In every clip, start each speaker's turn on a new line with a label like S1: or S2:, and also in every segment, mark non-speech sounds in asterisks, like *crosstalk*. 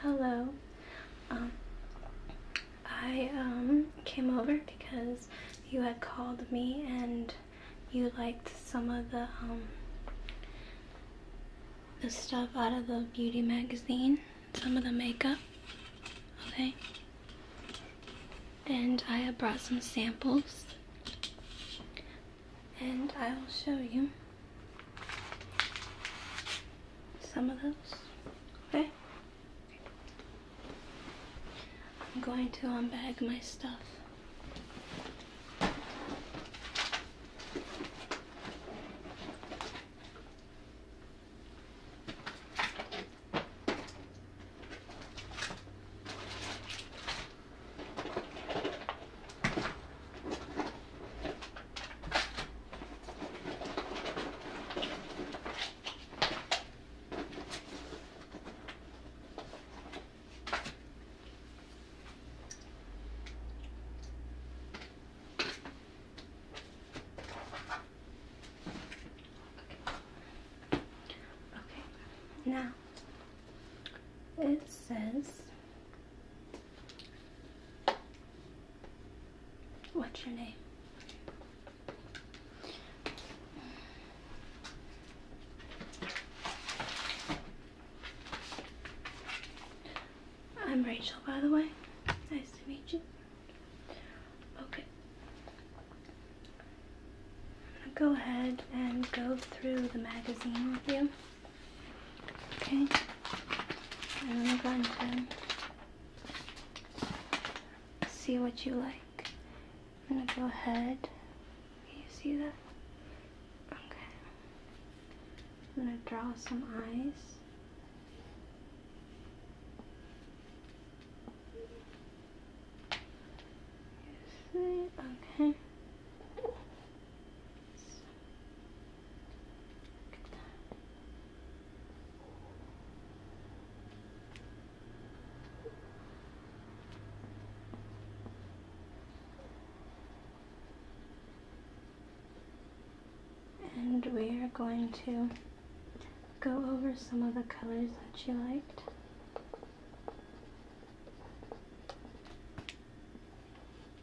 S1: Hello. Um, I um, came over because you had called me and you liked some of the um, the stuff out of the beauty magazine, some of the makeup, okay? And I have brought some samples and I will show you some of those. Okay? I'm going to unbag my stuff. Okay, now it says What's your name? I'm Rachel, by the way. Nice to meet you. Okay. go ahead and go through the magazine with you. Okay, I'm going to see what you like. I'm gonna go ahead. Can you see that? Okay. I'm gonna draw some eyes. You see? Okay. And we are going to go over some of the colors that you liked.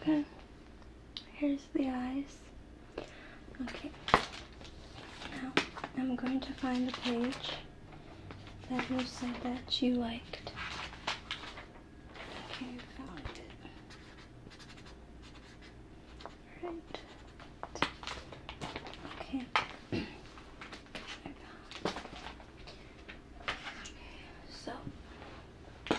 S1: Okay, here's the eyes. Okay, now I'm going to find the page that you said that you liked. Okay, found it. Right. Okay. *clears throat* So it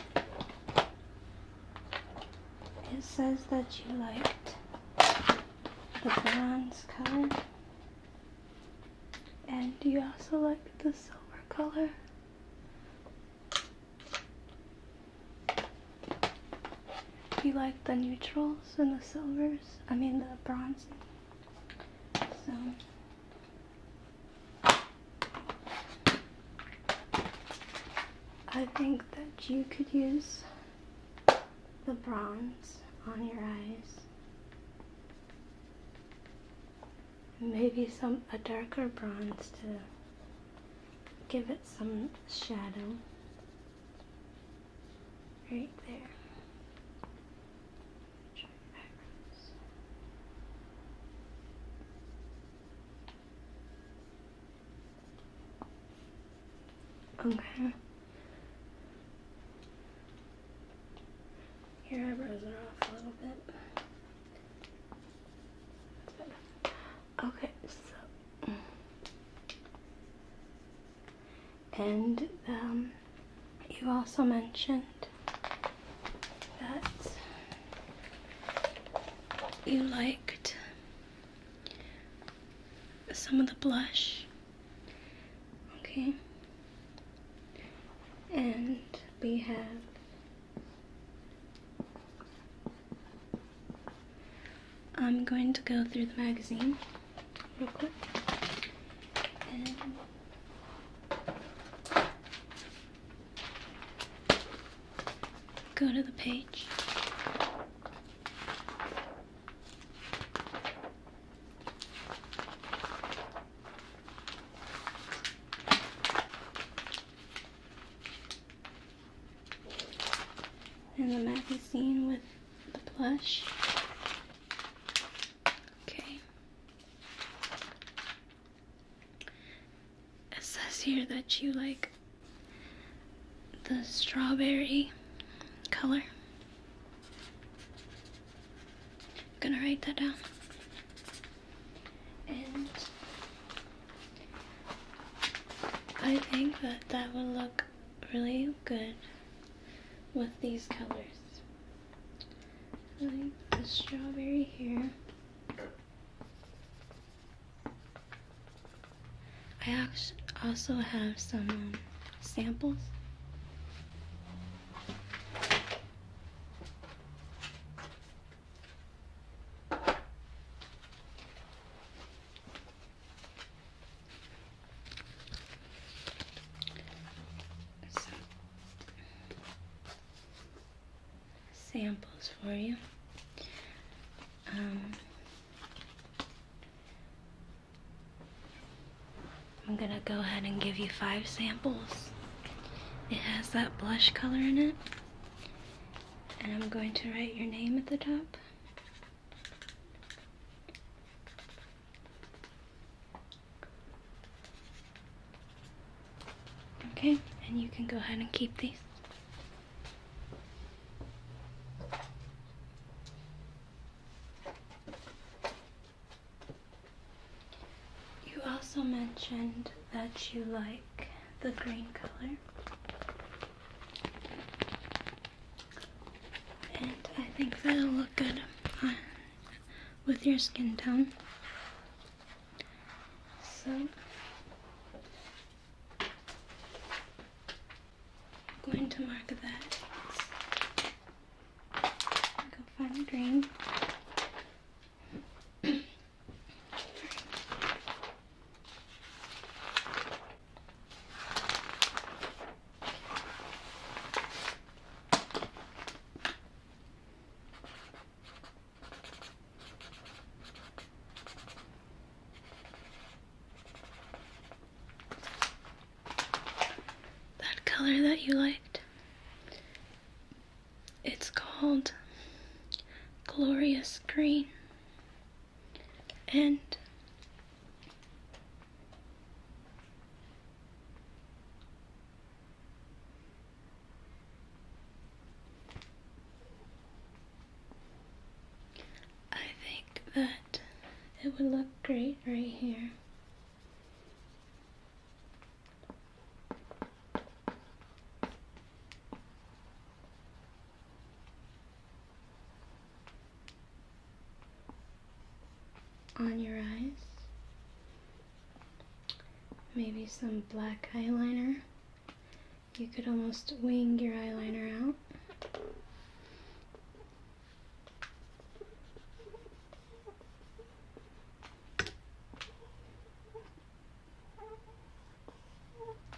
S1: says that you liked the bronze color and you also like the silver color. You like the neutrals and the silvers, I mean the bronze so I think that you could use the bronze on your eyes. Maybe some a darker bronze to give it some shadow. Right there. Okay. Your eyebrows are off a little bit. Okay, so and um, you also mentioned that you liked some of the blush. Okay. And we have I'm going to go through the magazine real quick. And go to the page. And the magazine with the plush Okay. It says here that you like the strawberry color. I'm gonna write that down. And I think that that would look really good with these colors. Like the strawberry here. I also have some um, samples samples for you. Um, I'm gonna go ahead and give you five samples. It has that blush color in it. And I'm going to write your name at the top. Okay, and you can go ahead and keep these. You also mentioned that you like the green color. And I think that'll look good uh, with your skin tone. So, I'm going to mark that. Go find green. *clears throat* That color that you liked, it's called Glorious Green, and I think that it would look great right here on your eyes. Maybe some black eyeliner. You could almost wing your eyeliner out.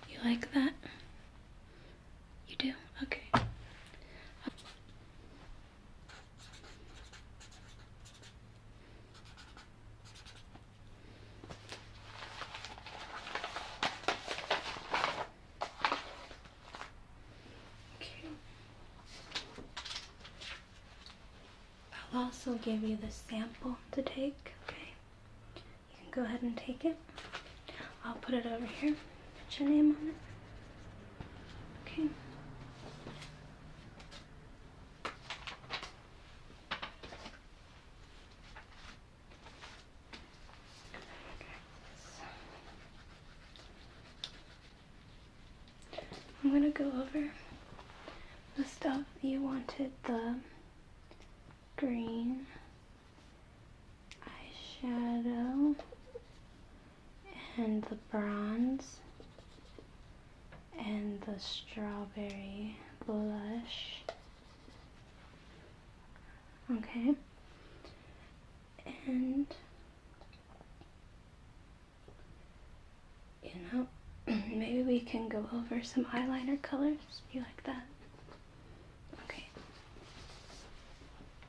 S1: You like that? You do? Okay. Okay. I'll also give you the sample to take, okay? You can go ahead and take it. I'll put it over here. Put your name on it. Okay. I'm going to go over the stuff you wanted the green eyeshadow and the bronze and the strawberry blush. Okay. And you know, *clears throat* maybe we can go over some eyeliner colors. You like that? Okay.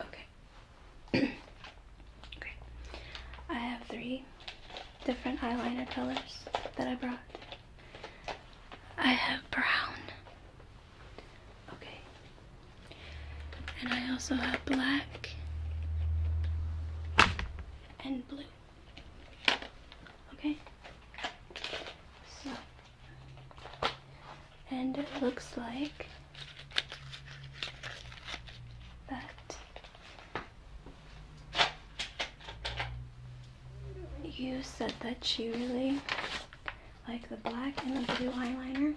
S1: Okay. Great. *coughs* I have three different eyeliner colors that I brought. I have brown. Okay. And I also have black and blue. Okay? So and it looks like that you said that you really like the black and the blue eyeliner.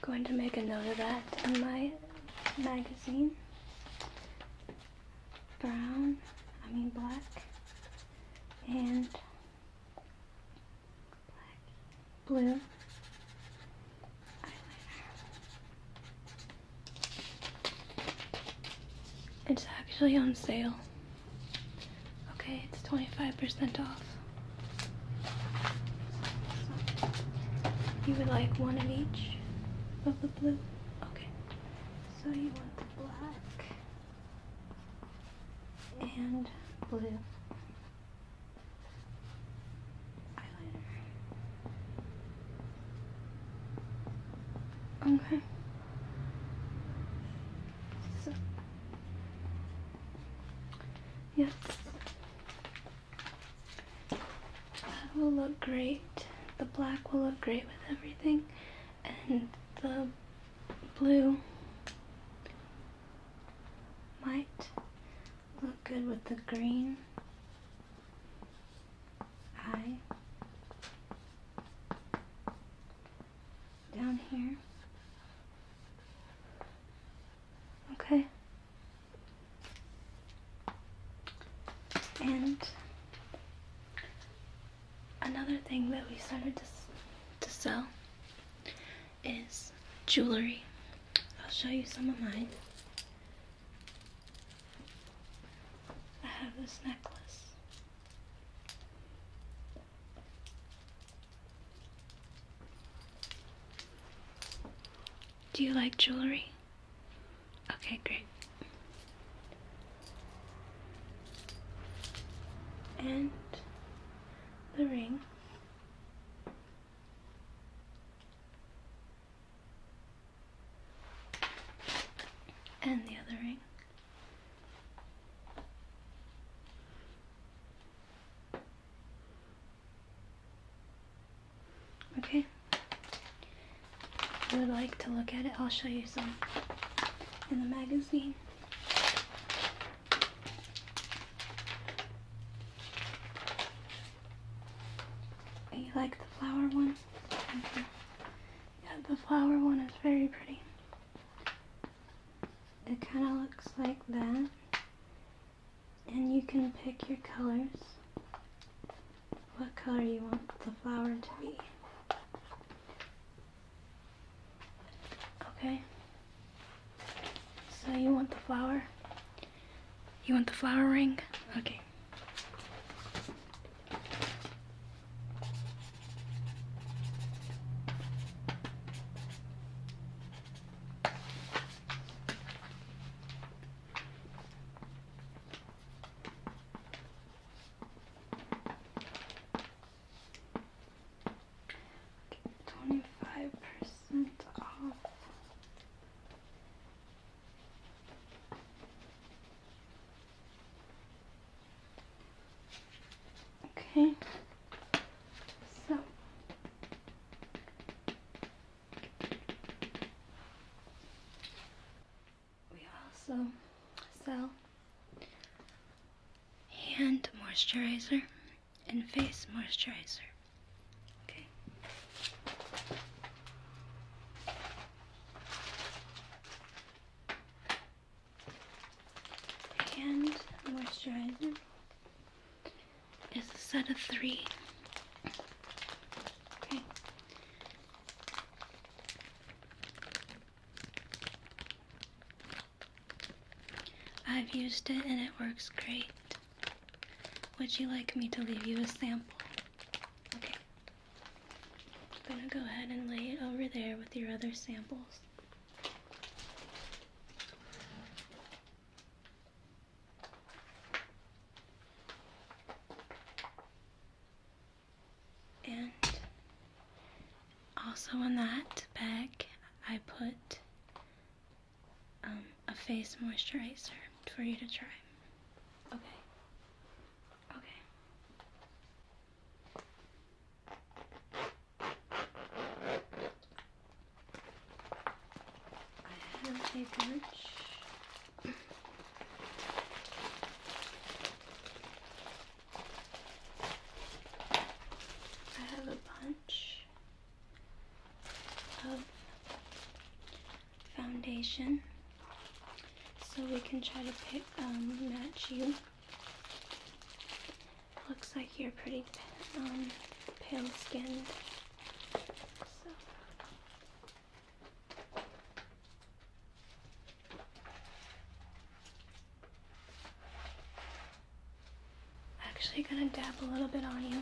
S1: Going to make a note of that in my magazine. Brown, I mean black, and black, blue It's actually on sale. Okay, it's 25% off. You would like one of each of the blue? Okay. So you want the black and blue eyeliner. Okay. So Yes. That will look great. The black will look great with everything. And the blue might look good with the green eye down here. Okay. And another thing that we started to, to sell is jewelry. I'll show you some of mine. I have this necklace. Do you like jewelry? Okay, great. And the ring. And the other ring. Okay. If would like to look at it, I'll show you some in the magazine. You like the flower one? Yeah, the flower one is very pretty it kind of looks like that and you can pick your colors what color you want the flower to be okay so you want the flower you want the flower ring okay Twenty-five percent off. Okay, so we also sell hand moisturizer and face moisturizer. Okay and moisturizer is a set of three. Okay. I've used it and it works great. Would you like me to leave you a sample? Okay. I'm gonna go ahead and lay it over there with your other samples. And also on that bag, I put um, a face moisturizer for you to try. Okay. Okay. I have a bunch. I have a bunch of foundation so we can try to pick, um, match you Looks like you're pretty um, pale skinned. So. Actually, gonna dab a little bit on you.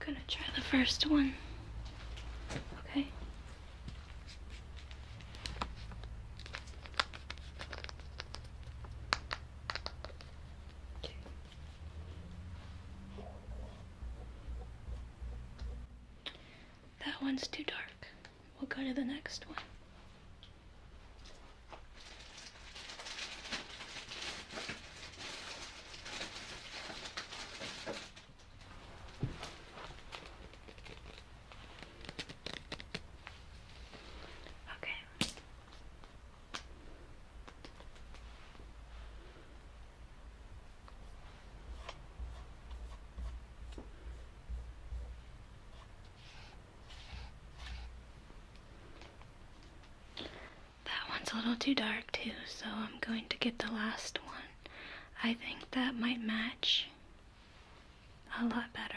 S1: I'm gonna try the first one. okay. That one's too dark. We'll go to the next one. Okay. That one's a little too dark too, so I'm going to get the last one. I think that might match a lot better.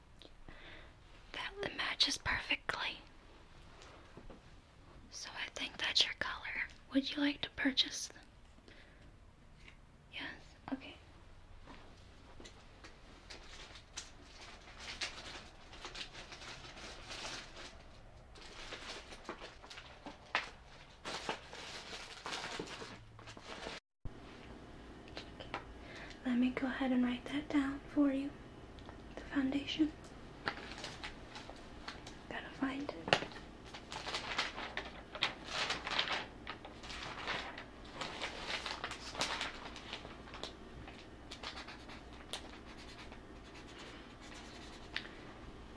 S1: That matches perfectly. So I think that's your color. Would you like to purchase them? Yes, okay. Let me go ahead and write that down for you. The foundation. Gotta find it.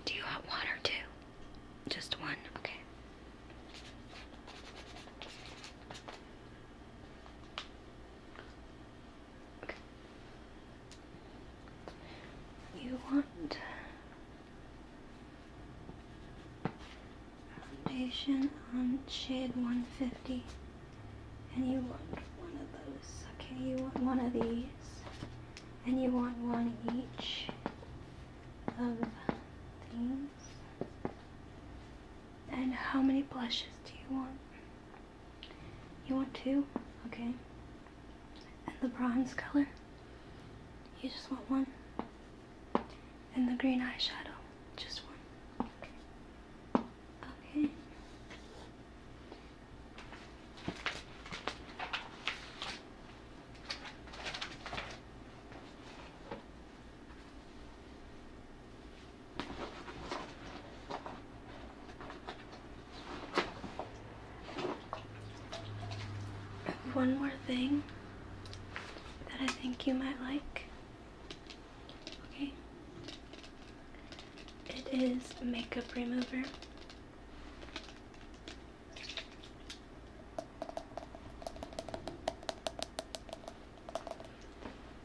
S1: Do you want one or two? Just one, okay. You want foundation on shade 150 and you want one of those. Okay, you want one of these and you want one each of these. And how many blushes do you want? You want two? Okay. And the bronze color? You just want one? And the green eyeshadow? Just one. Okay. One more thing that I think you might like. Okay. It is makeup remover.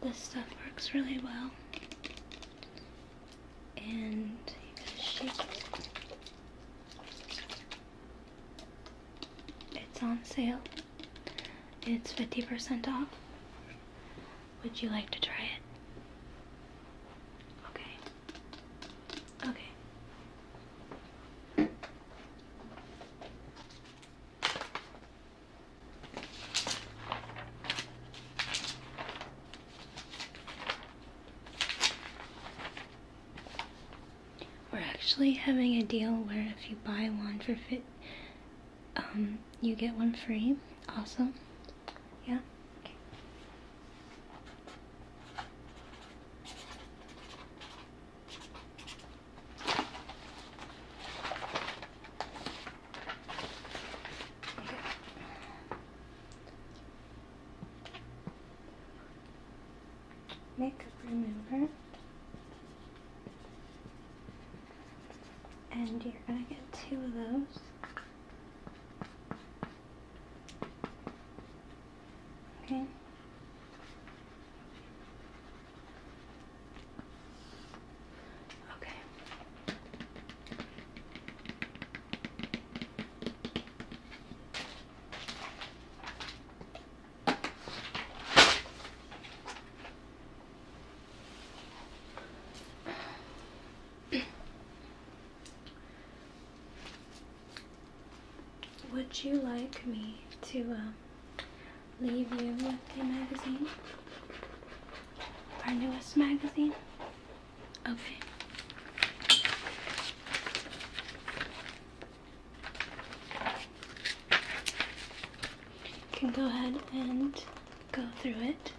S1: This stuff works really well. And you got shake it. It's on sale. It's 50% off. Would you like to try it? Okay. Okay. We're actually having a deal where if you buy one for fit, um, you get one free. Awesome. Yeah. Okay makeup remover and you're going to get two of those okay Okay. Would you like me to um, leave you with a magazine, our newest magazine. Okay. You can go ahead and go through it.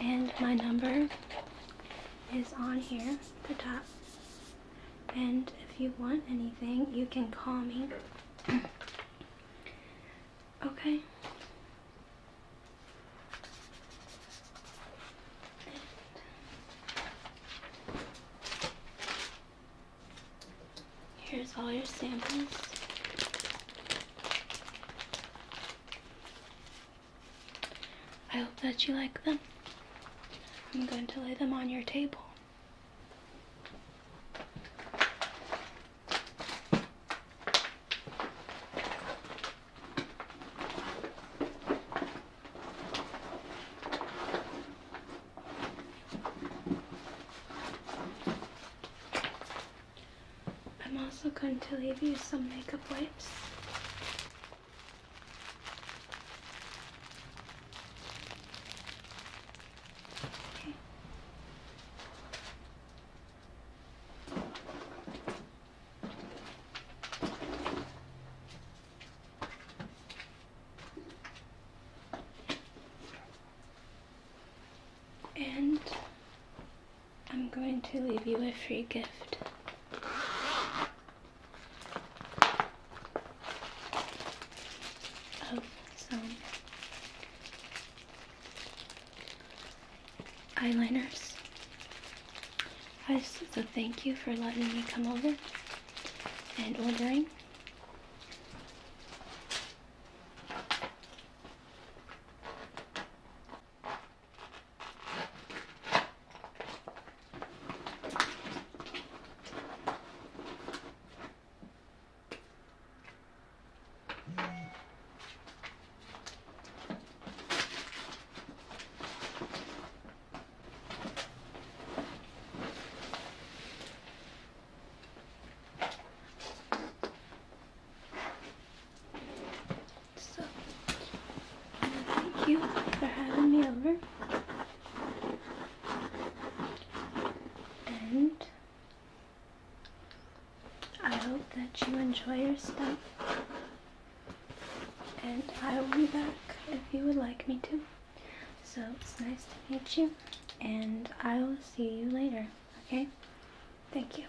S1: And my number is on here, the top. And if you want anything, you can call me. *clears throat* Okay. here's all your samples. I hope that you like them. I'm going to lay them on your table. I'm also going to leave you some makeup wipes. And I'm going to leave you a free gift. of so eyeliners. I Hi, so thank you for letting me come over and ordering. So, thank you for having me over. And I hope that you enjoy your stuff. And I will be back if you would like me to. So it's nice to meet you. And I will see you later. Okay? Thank you.